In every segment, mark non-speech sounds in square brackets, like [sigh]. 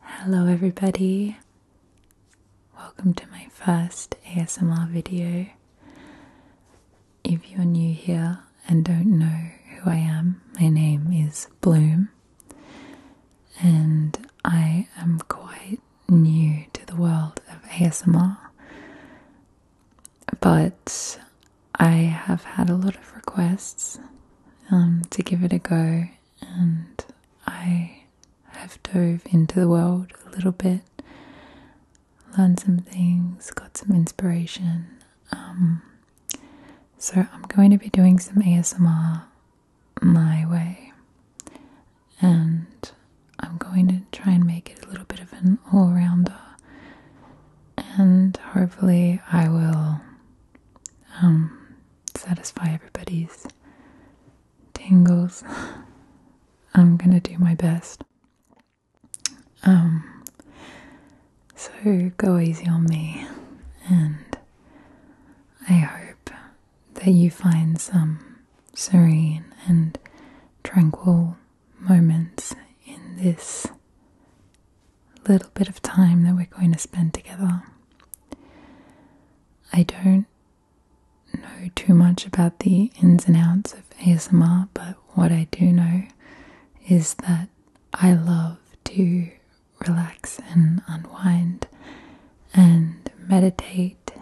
Hello, everybody. Welcome to my first ASMR video. If you're new here and don't know who I am, my name is Bloom, and I am quite new to the world of ASMR, but I have had a lot of requests um, to give it a go, and I have dove into the world a little bit, learned some things, got some inspiration. Um, so I'm going to be doing some ASMR my way, and I'm going to try and make it a little bit of an all rounder, and hopefully I will um, satisfy everybody's tingles. [laughs] I'm gonna do my best. Um, so go easy on me, and I hope that you find some serene and tranquil moments in this little bit of time that we're going to spend together. I don't know too much about the ins and outs of ASMR, but what I do know is that I love to relax and unwind and meditate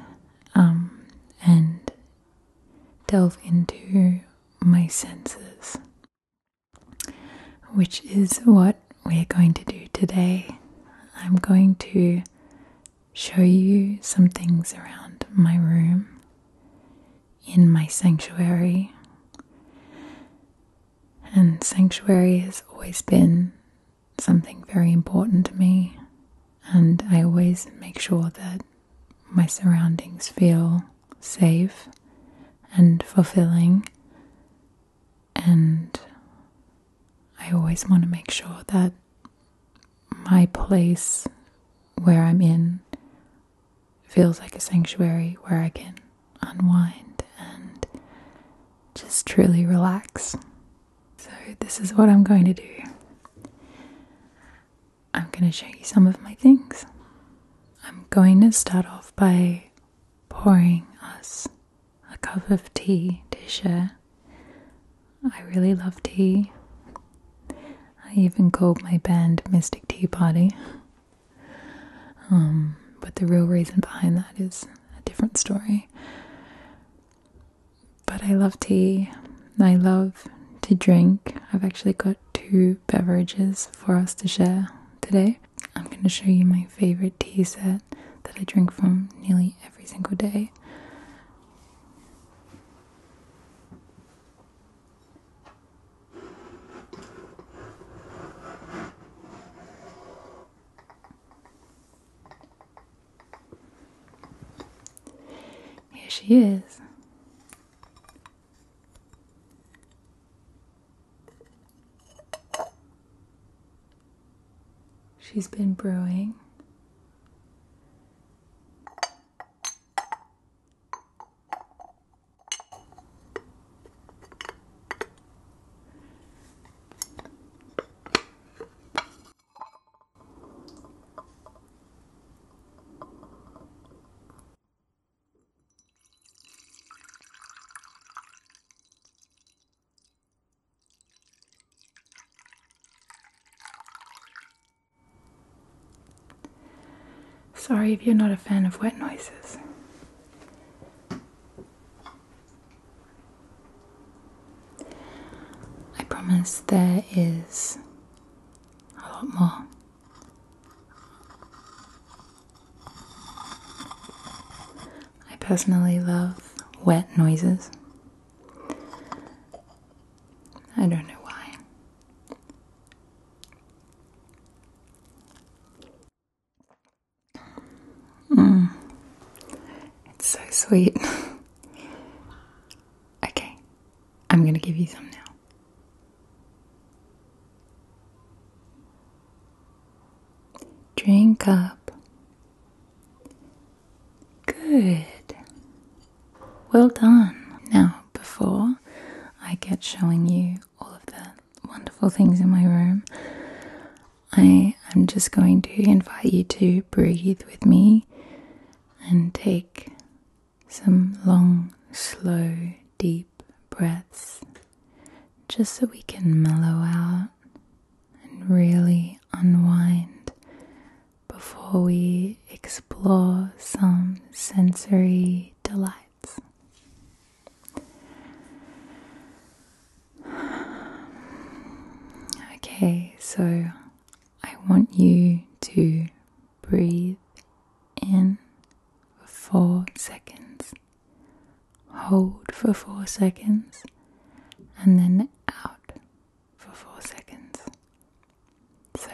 um, and delve into my senses, which is what we're going to do today, I'm going to show you some things around my room in my sanctuary. And sanctuary has always been something very important to me, and I always make sure that my surroundings feel safe and fulfilling and I always want to make sure that my place where I'm in feels like a sanctuary where I can unwind and just truly relax. So, this is what I'm going to do. I'm going to show you some of my things. I'm going to start off by pouring us a cup of tea to share. I really love tea. I even called my band Mystic Tea Party. Um, but the real reason behind that is a different story. But I love tea. I love to drink. I've actually got two beverages for us to share today. I'm going to show you my favorite tea set that I drink from nearly every single day. Here she is. She's been brewing. Sorry if you're not a fan of wet noises. I promise there is a lot more. I personally love wet noises. I don't know why. Mm. It's so sweet. [laughs] okay, I'm gonna give you some now. Drink up. Good. Well done. Now, before I get showing you all of the wonderful things in my room, I am just going to invite you to breathe with me and take some long, slow, deep breaths just so we can mellow out and really unwind before we explore some sensory delights. Okay, so I want you to breathe in for seconds hold for 4 seconds, and then out for 4 seconds. So,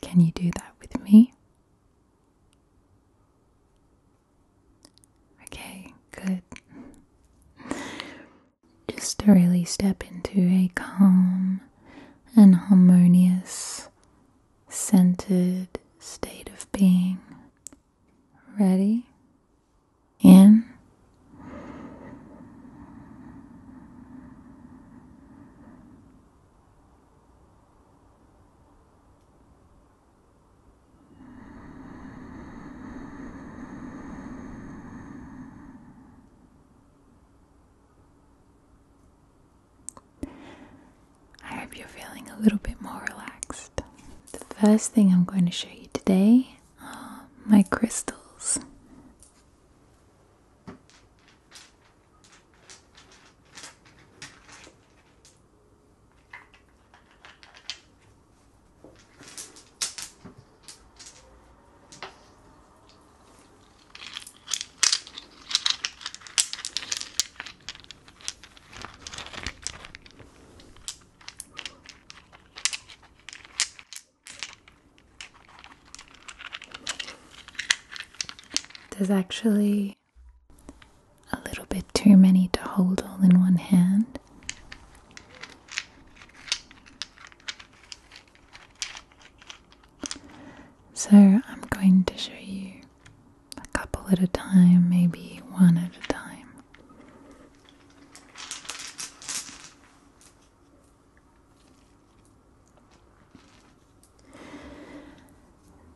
can you do that with me? Okay, good. [laughs] Just to really step into a calm and harmonious, centered state of being Ready? In. I hope you're feeling a little bit more relaxed. The first thing I'm going to show you today are my crystals. There's actually a little bit too many to hold all in one hand. So, I'm going to show you a couple at a time, maybe one at a time.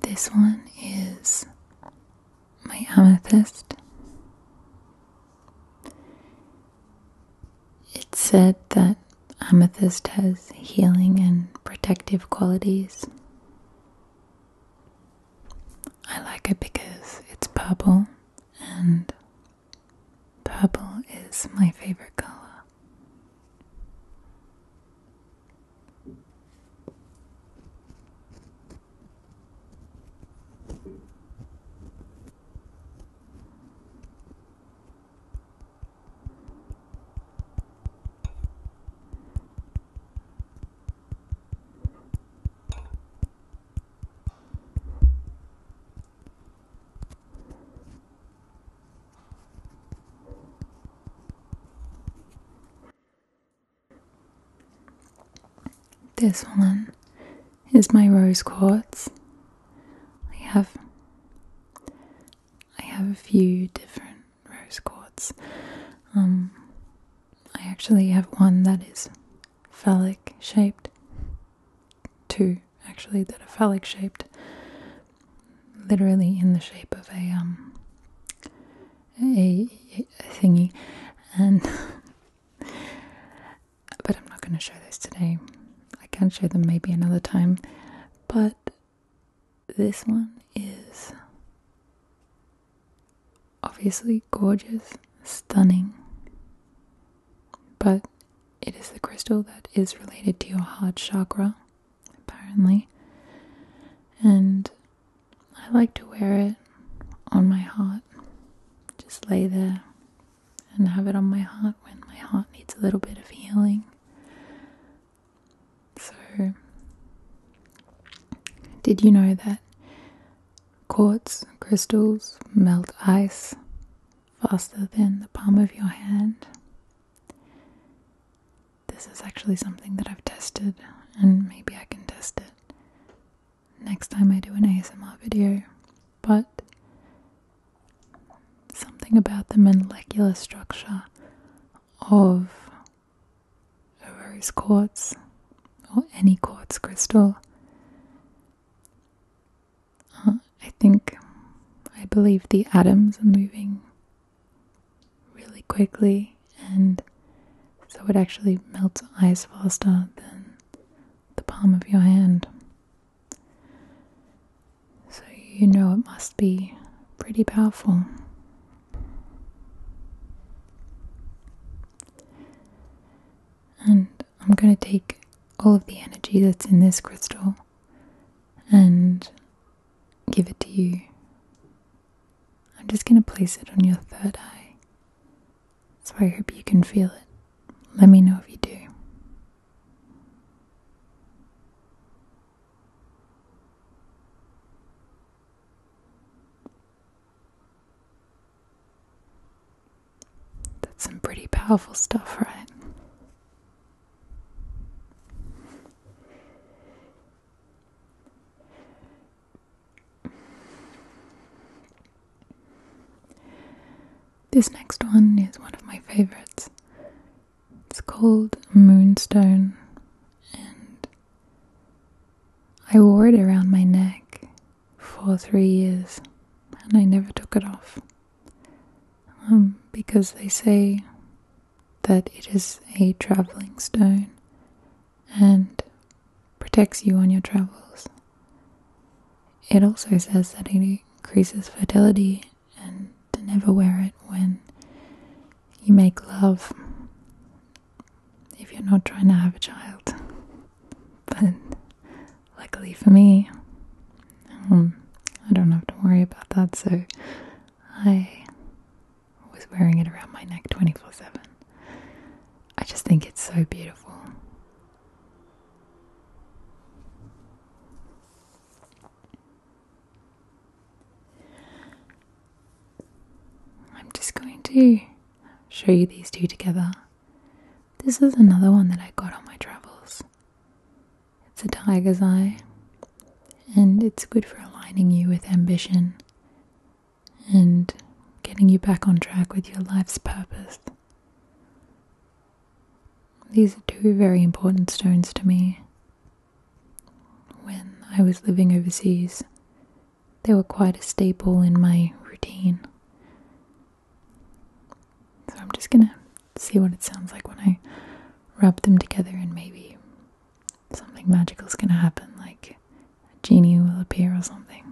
This one is my amethyst. It's said that amethyst has healing and protective qualities. I like it because it's purple, and purple is my favorite color. This one is my rose quartz. I have I have a few different rose quartz. Um, I actually have one that is phallic shaped. Two actually that are phallic shaped. Literally in the shape of a um, a, a thingy, and [laughs] but I'm not going to show those today. I can show them maybe another time, but this one is obviously gorgeous, stunning, but it is the crystal that is related to your heart chakra, apparently. And I like to wear it on my heart, just lay there and have it on my heart when my heart needs a little bit of healing. So, did you know that quartz crystals melt ice faster than the palm of your hand? This is actually something that I've tested, and maybe I can test it next time I do an ASMR video. But something about the molecular structure of a rose quartz or any quartz crystal. Uh, I think, I believe the atoms are moving really quickly, and so it actually melts ice faster than the palm of your hand. So you know it must be pretty powerful. And I'm going to take all of the energy that's in this crystal and give it to you. I'm just going to place it on your third eye. So I hope you can feel it. Let me know if you do. That's some pretty powerful stuff, right? This next one is one of my favorites. It's called Moonstone, I wore it around my neck for three years and I never took it off. Um, because they say that it is a traveling stone and protects you on your travels. It also says that it increases fertility and to never wear it when you make love if you're not trying to have a child. But luckily for me, um, I don't have to worry about that, so I was wearing it around my neck 24 7. I just think it's so beautiful. I'm just going to show you these two together. This is another one that I got on my travels. It's a tiger's eye, and it's good for aligning you with ambition and getting you back on track with your life's purpose. These are two very important stones to me, when I was living overseas, they were quite a staple in my routine. So I'm just gonna see what it sounds like when I rub them together, and maybe something magical is gonna happen, like a genie will appear or something.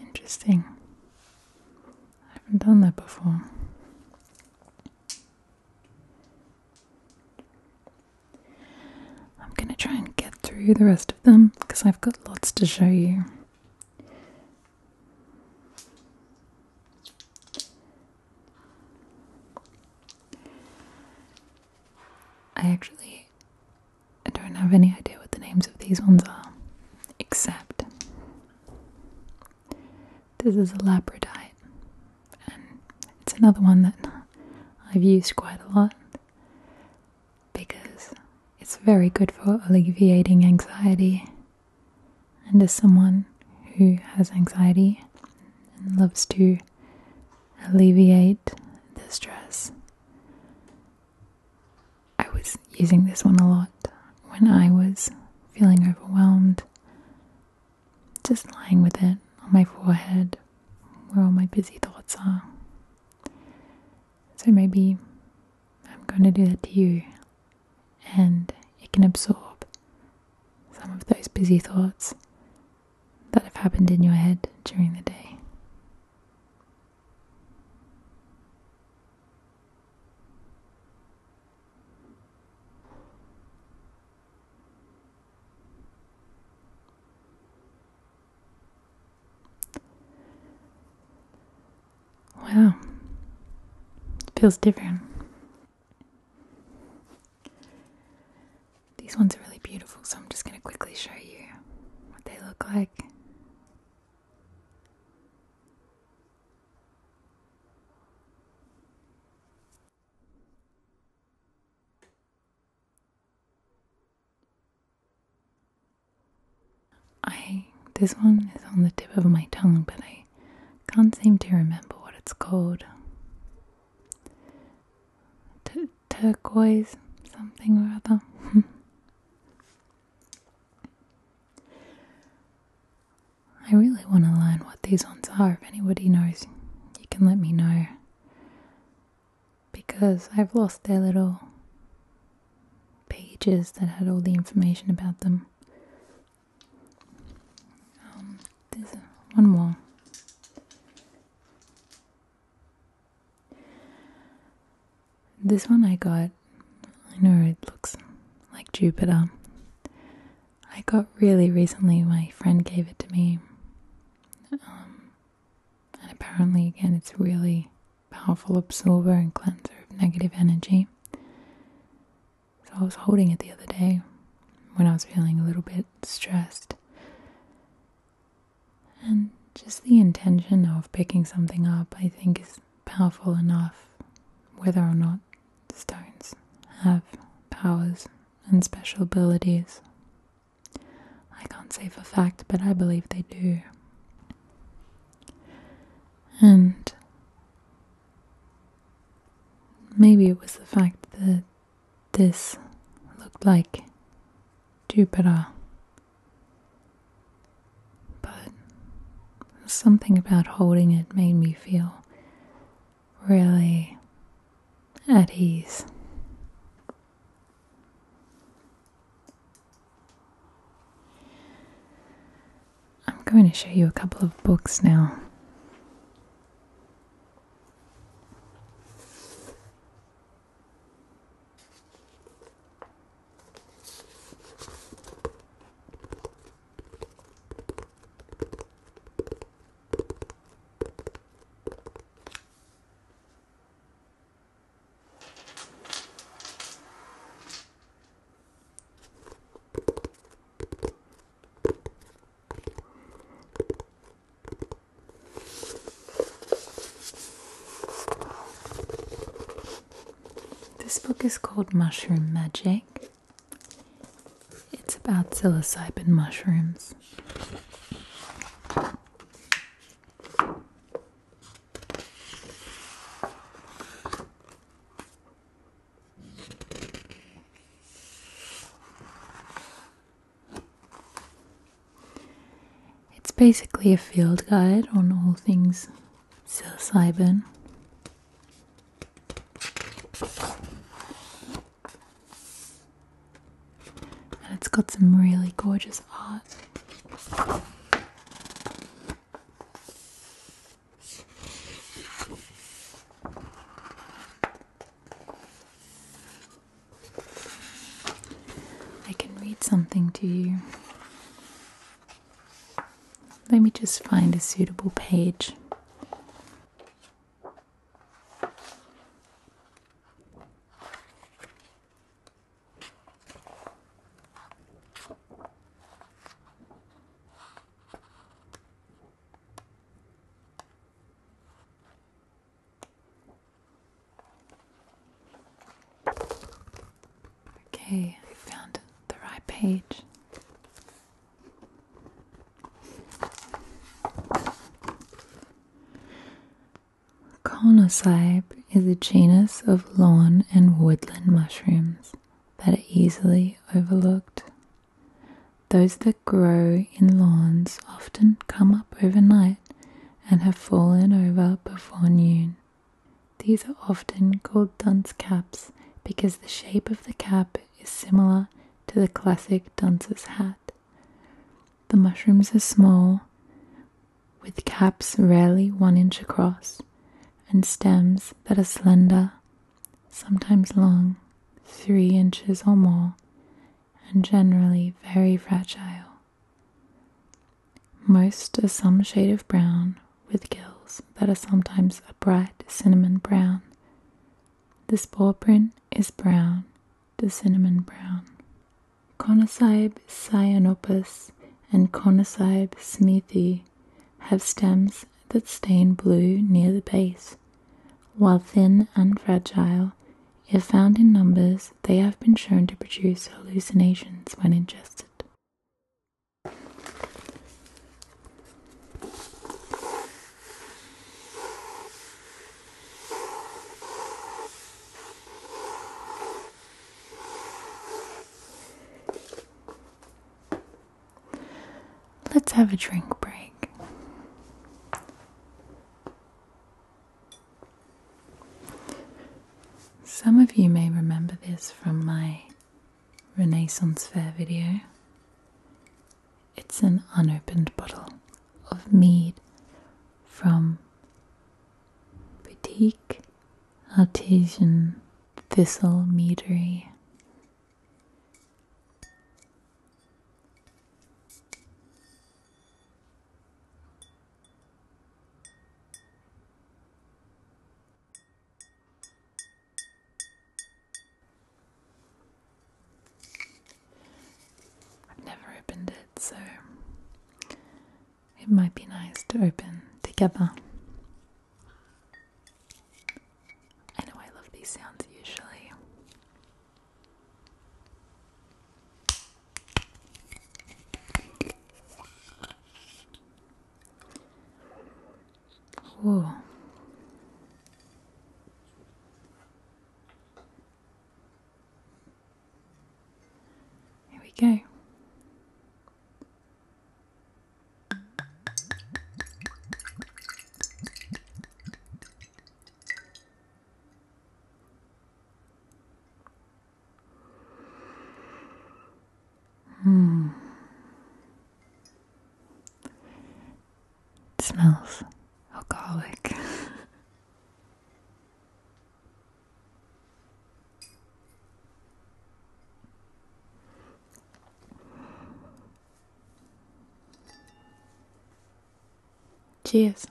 Interesting. I haven't done that before. I'm going to try and get through the rest of them because I've got lots to show you. I actually I don't have any idea what the names of these ones are, except this is a labradite it's another one that I've used quite a lot because it's very good for alleviating anxiety. And as someone who has anxiety and loves to alleviate the stress, I was using this one a lot when I was feeling overwhelmed just lying with it on my forehead where all my busy thoughts are. So maybe I'm going to do that to you and it can absorb some of those busy thoughts that have happened in your head during the day. Wow. It feels different. These ones are really beautiful, so I'm just going to quickly show you what they look like. I this one is on the tip of my tongue, but I can't seem to remember what it's called. turquoise, something or other. [laughs] I really want to learn what these ones are. If anybody knows, you can let me know. Because I've lost their little pages that had all the information about them. Um, there's one more. This one I got, I know it looks like Jupiter, I got really recently, my friend gave it to me. Um, and apparently, again, it's really powerful absorber and cleanser of negative energy. So I was holding it the other day when I was feeling a little bit stressed. And just the intention of picking something up, I think, is powerful enough, whether or not the stones have powers and special abilities. I can't say for fact, but I believe they do. And maybe it was the fact that this looked like Jupiter. But something about holding it made me feel really at ease. I'm going to show you a couple of books now. This book is called Mushroom Magic it's about psilocybin mushrooms. It's basically a field guide on all things psilocybin. And it's got some really gorgeous art. I can read something to you. Let me just find a suitable page. Okay, I found the right page. Conocybe is a genus of lawn and woodland mushrooms that are easily overlooked. Those that grow in lawns often come up overnight and have fallen over before noon. These are often called dunce caps because the shape of the cap is similar to the classic dunce's hat. The mushrooms are small, with caps rarely one inch across, and stems that are slender, sometimes long, three inches or more, and generally very fragile. Most are some shade of brown with gills that are sometimes a bright cinnamon brown. The spore print is brown the cinnamon brown. Conocybe cyanopus and Conocybe smeathi have stems that stain blue near the base. While thin and fragile, if found in numbers, they have been shown to produce hallucinations when ingested. Let's have a drink break. Some of you may remember this from my Renaissance Fair video. It's an unopened bottle of mead from Boutique Artesian Thistle Meadery. I've never opened it, so it might be nice to open together. I know I love these sounds usually. Whoa. Here we go. Hmm. It smells alcoholic. [laughs] Cheers.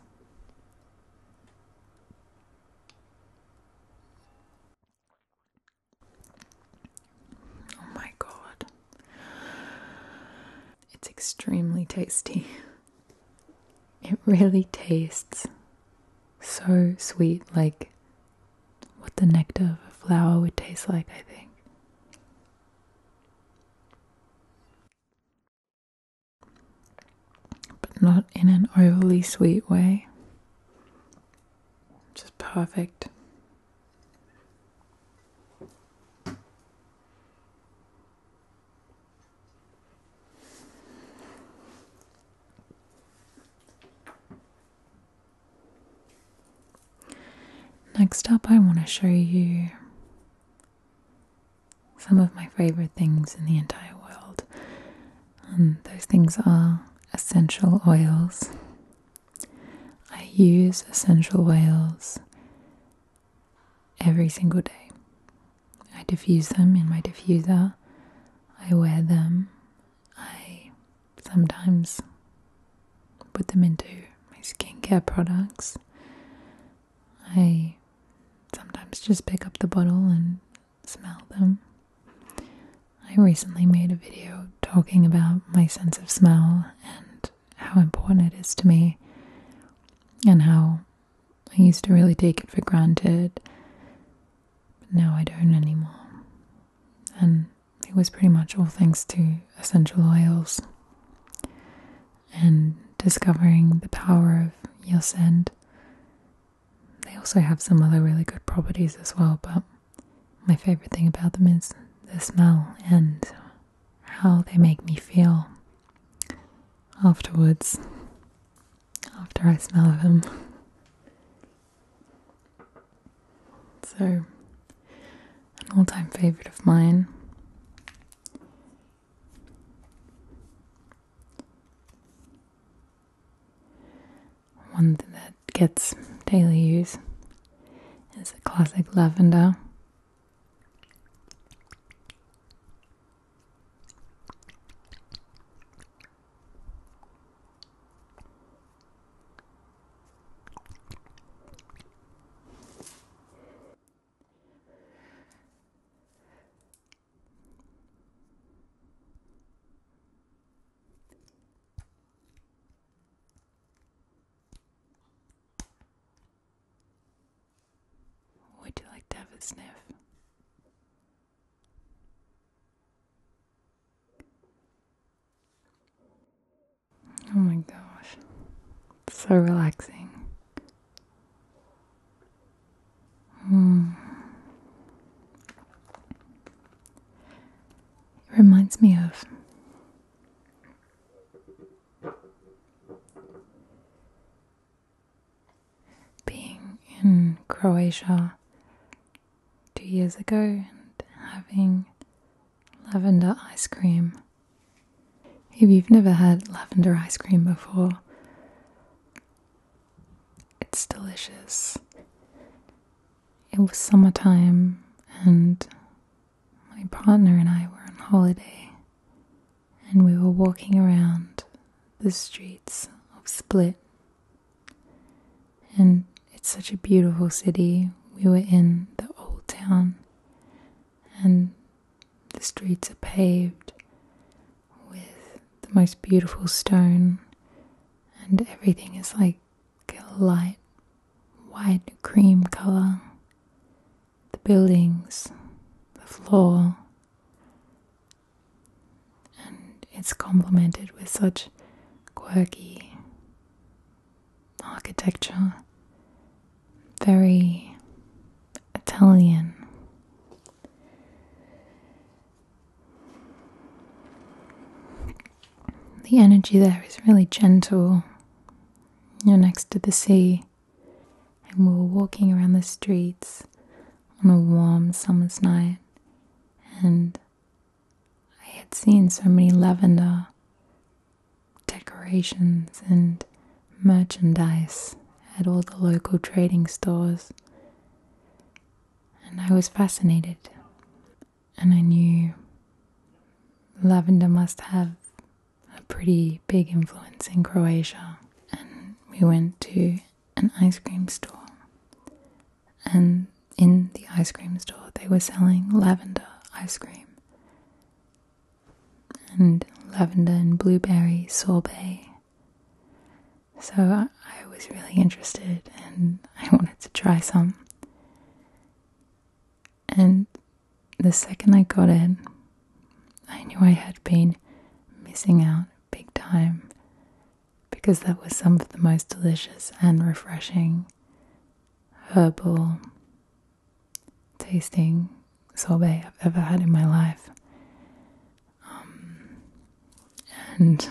Oh my god. It's extremely tasty. It really tastes so sweet, like what the nectar of a flower would taste like, I think. But not in an overly sweet way. Just perfect. Next up, I want to show you some of my favorite things in the entire world. And um, those things are essential oils, I use essential oils every single day. I diffuse them in my diffuser. I wear them. I sometimes put them into my skincare products. I sometimes just pick up the bottle and smell them. I recently made a video talking about my sense of smell and how important it is to me and how I used to really take it for granted. But now I don't anymore. And it was pretty much all thanks to essential oils and discovering the power of ylang-ylang. They also have some other really good properties as well, but my favorite thing about them is the smell and how they make me feel afterwards after I smell them. So, an all time favorite of mine. One that gets daily use is a classic lavender. Would you like to have a sniff? Oh my gosh, so relaxing. Hmm. reminds me of being in Croatia two years ago and having lavender ice cream. If you've never had lavender ice cream before, it's delicious. It was summertime and my partner and I were on holiday, and we were walking around the streets of Split. And it's such a beautiful city. We were in the old town, and the streets are paved with the most beautiful stone, and everything is like light white cream color. The buildings, the floor, and it's complemented with such quirky architecture, very Italian. The energy there is really gentle. You're next to the sea, and we were walking around the streets on a warm summer's night, and I had seen so many lavender decorations and merchandise at all the local trading stores, and I was fascinated and I knew lavender must have a pretty big influence in Croatia. And we went to an ice cream store, and in the ice cream store, they were selling lavender ice cream and lavender and blueberry sorbet. So I was really interested and I wanted to try some. And the second I got it, I knew I had been missing out big time because that was some of the most delicious and refreshing herbal tasting sorbet I've ever had in my life. Um, and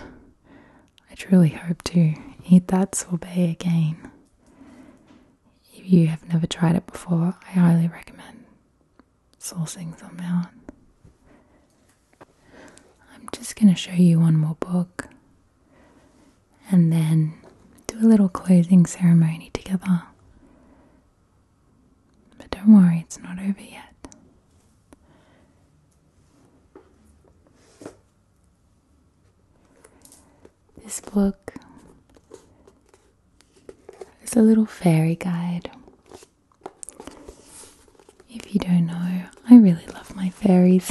I truly hope to eat that sorbet again. If you have never tried it before, I highly recommend sourcing some out. I'm just going to show you one more book and then do a little closing ceremony together. But don't worry, it's not over yet. This book is a little fairy guide. If you don't know, I really love my fairies.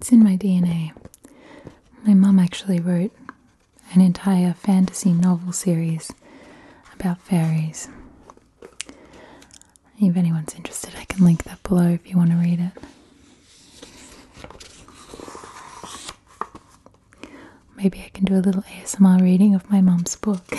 It's in my DNA. My mom actually wrote an entire fantasy novel series about fairies. If anyone's interested, I can link that below if you want to read it. Maybe I can do a little ASMR reading of my mom's book. [laughs]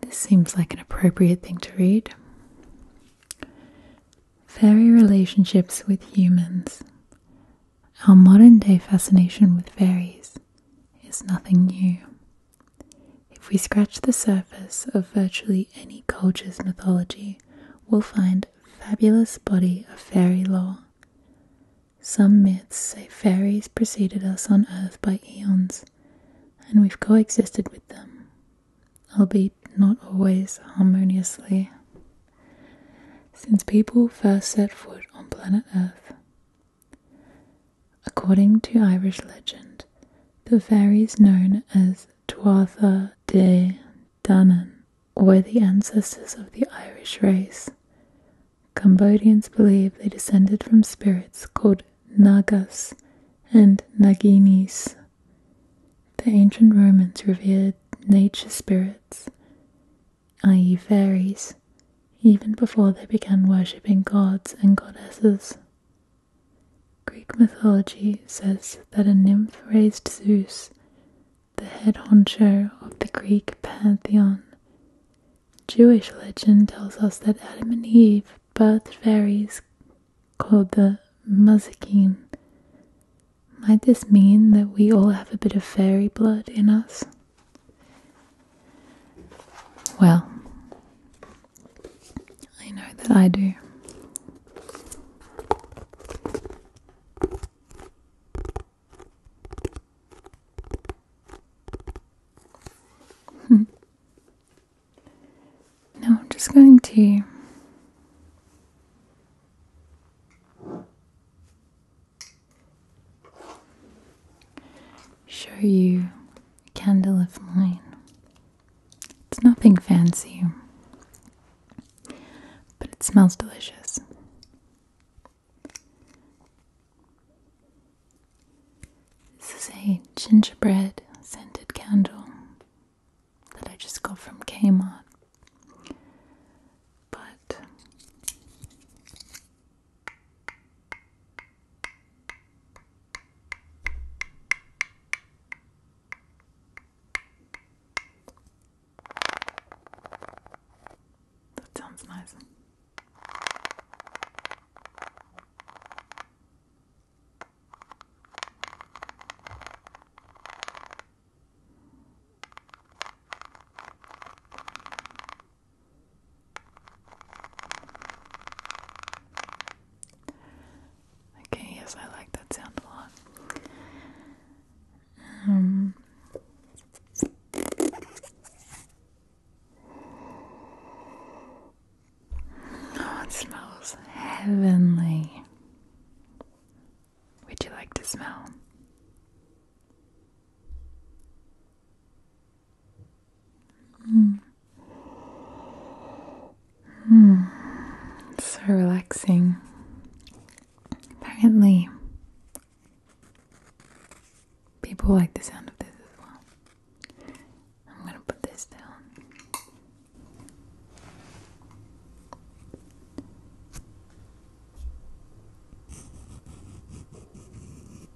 This seems like an appropriate thing to read. Fairy relationships with humans. Our modern day fascination with fairies is nothing new. If we scratch the surface of virtually any culture's mythology, we'll find a fabulous body of fairy lore. Some myths say fairies preceded us on earth by eons, and we've coexisted with them, albeit not always harmoniously. Since people first set foot on planet Earth, According to Irish legend, the fairies known as Tuatha De Danann were the ancestors of the Irish race. Cambodians believe they descended from spirits called Nagas and Naginis. The ancient Romans revered nature spirits, i.e., fairies, even before they began worshipping gods and goddesses. Greek mythology says that a nymph raised Zeus, the head honcho of the Greek pantheon. Jewish legend tells us that Adam and Eve birthed fairies called the Mazakin. Might this mean that we all have a bit of fairy blood in us? Well, I know that I do. Hmm. now I'm just going to show you a candle of mine. It's nothing fancy, but it smells delicious. This is a gingerbread scented candle that I just got from Kmart. But that sounds nice. Okay, yes, I like that sound a lot. Um, oh, it smells heavenly. Would you like to smell? Mm. So relaxing. Apparently, people like the sound of this as well. I'm going to put this down.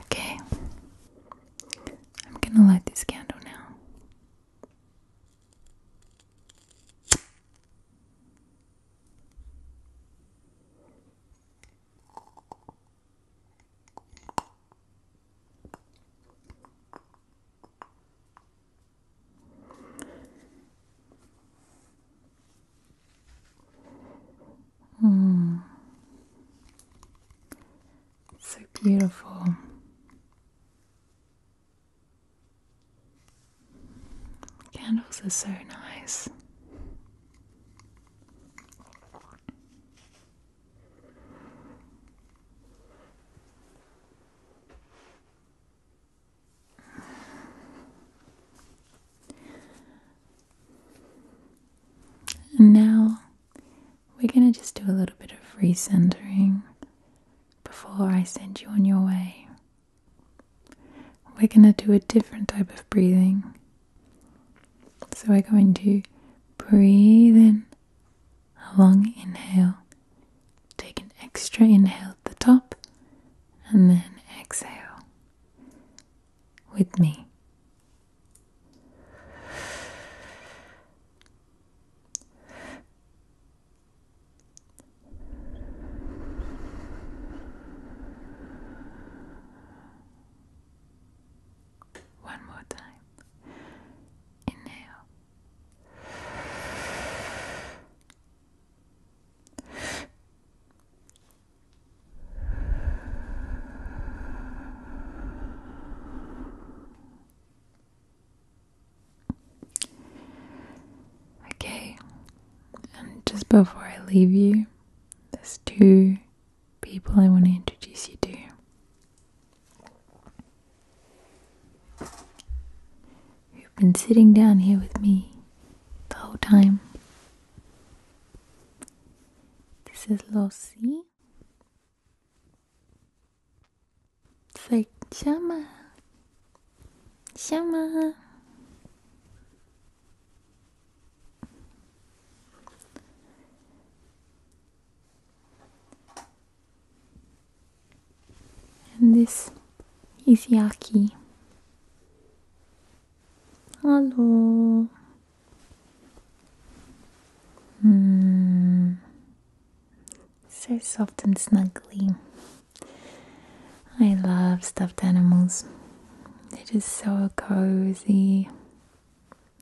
Okay. I'm gonna light this candle now. Hmm. So beautiful. Candles are so nice now we're going to just do a little bit of recentering before I send you on your way. We're going to do a different type of breathing. So we're going to breathe in a long inhale, take an extra inhale at the top, and then exhale with me. One more time. Inhale. Okay, and just before I leave you, there's two people I want to introduce you to. You've been sitting down here with me the whole time. This is Lossie. It's Shama. Shama. And this is Yaki. Hello. Hmm. So soft and snuggly. I love stuffed animals. They're just so cozy.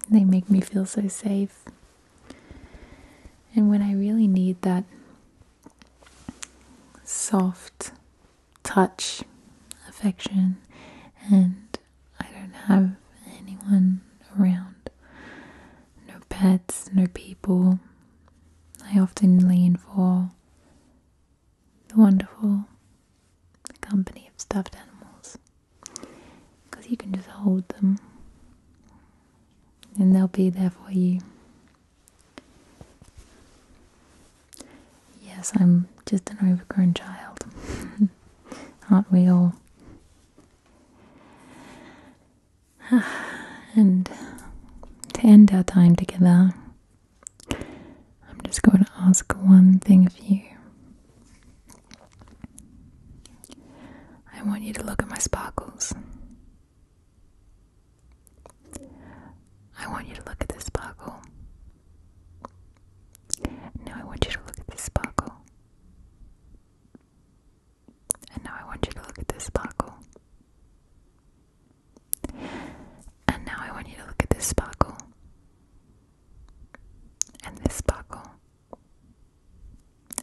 They make me feel so safe. And when I really need that soft touch, affection, and I don't have anyone around, no pets, no people, I often lean for the wonderful company of stuffed animals because you can just hold them and they'll be there for you. Yes, I'm just an overgrown child. [laughs] Aren't we all? [sighs] and to end our time together, I'm just going to ask one thing of you. I want you to look at my sparkles. I want you to look at this sparkle. Now I want you to look at this sparkle. And now I want you to look at this sparkle. And now I want you to look at this sparkle. And this sparkle.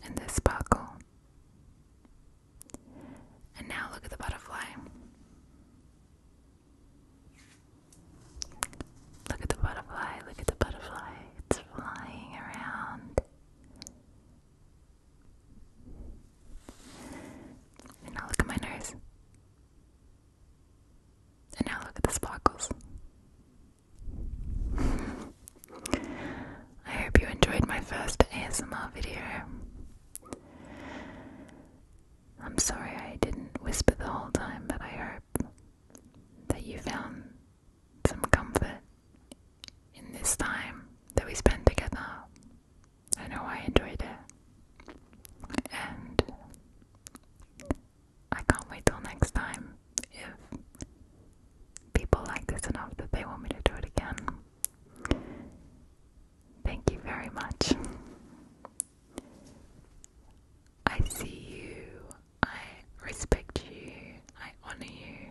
And this sparkle. And now look at the butterfly. Look at the butterfly, look at the butterfly. It's flying around. And now look at my nose. And now look at the sparkles. [laughs] I hope you enjoyed my first ASMR video. I'm sorry I didn't whisper the whole time, but I hope that you found some comfort in this time that we spent together. I know I enjoyed it. And I can't wait till next time if people like this enough that they want me to do it again. Thank you very much. I see you, I respect you, I honor you,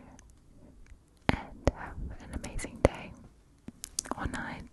and have an amazing day or night.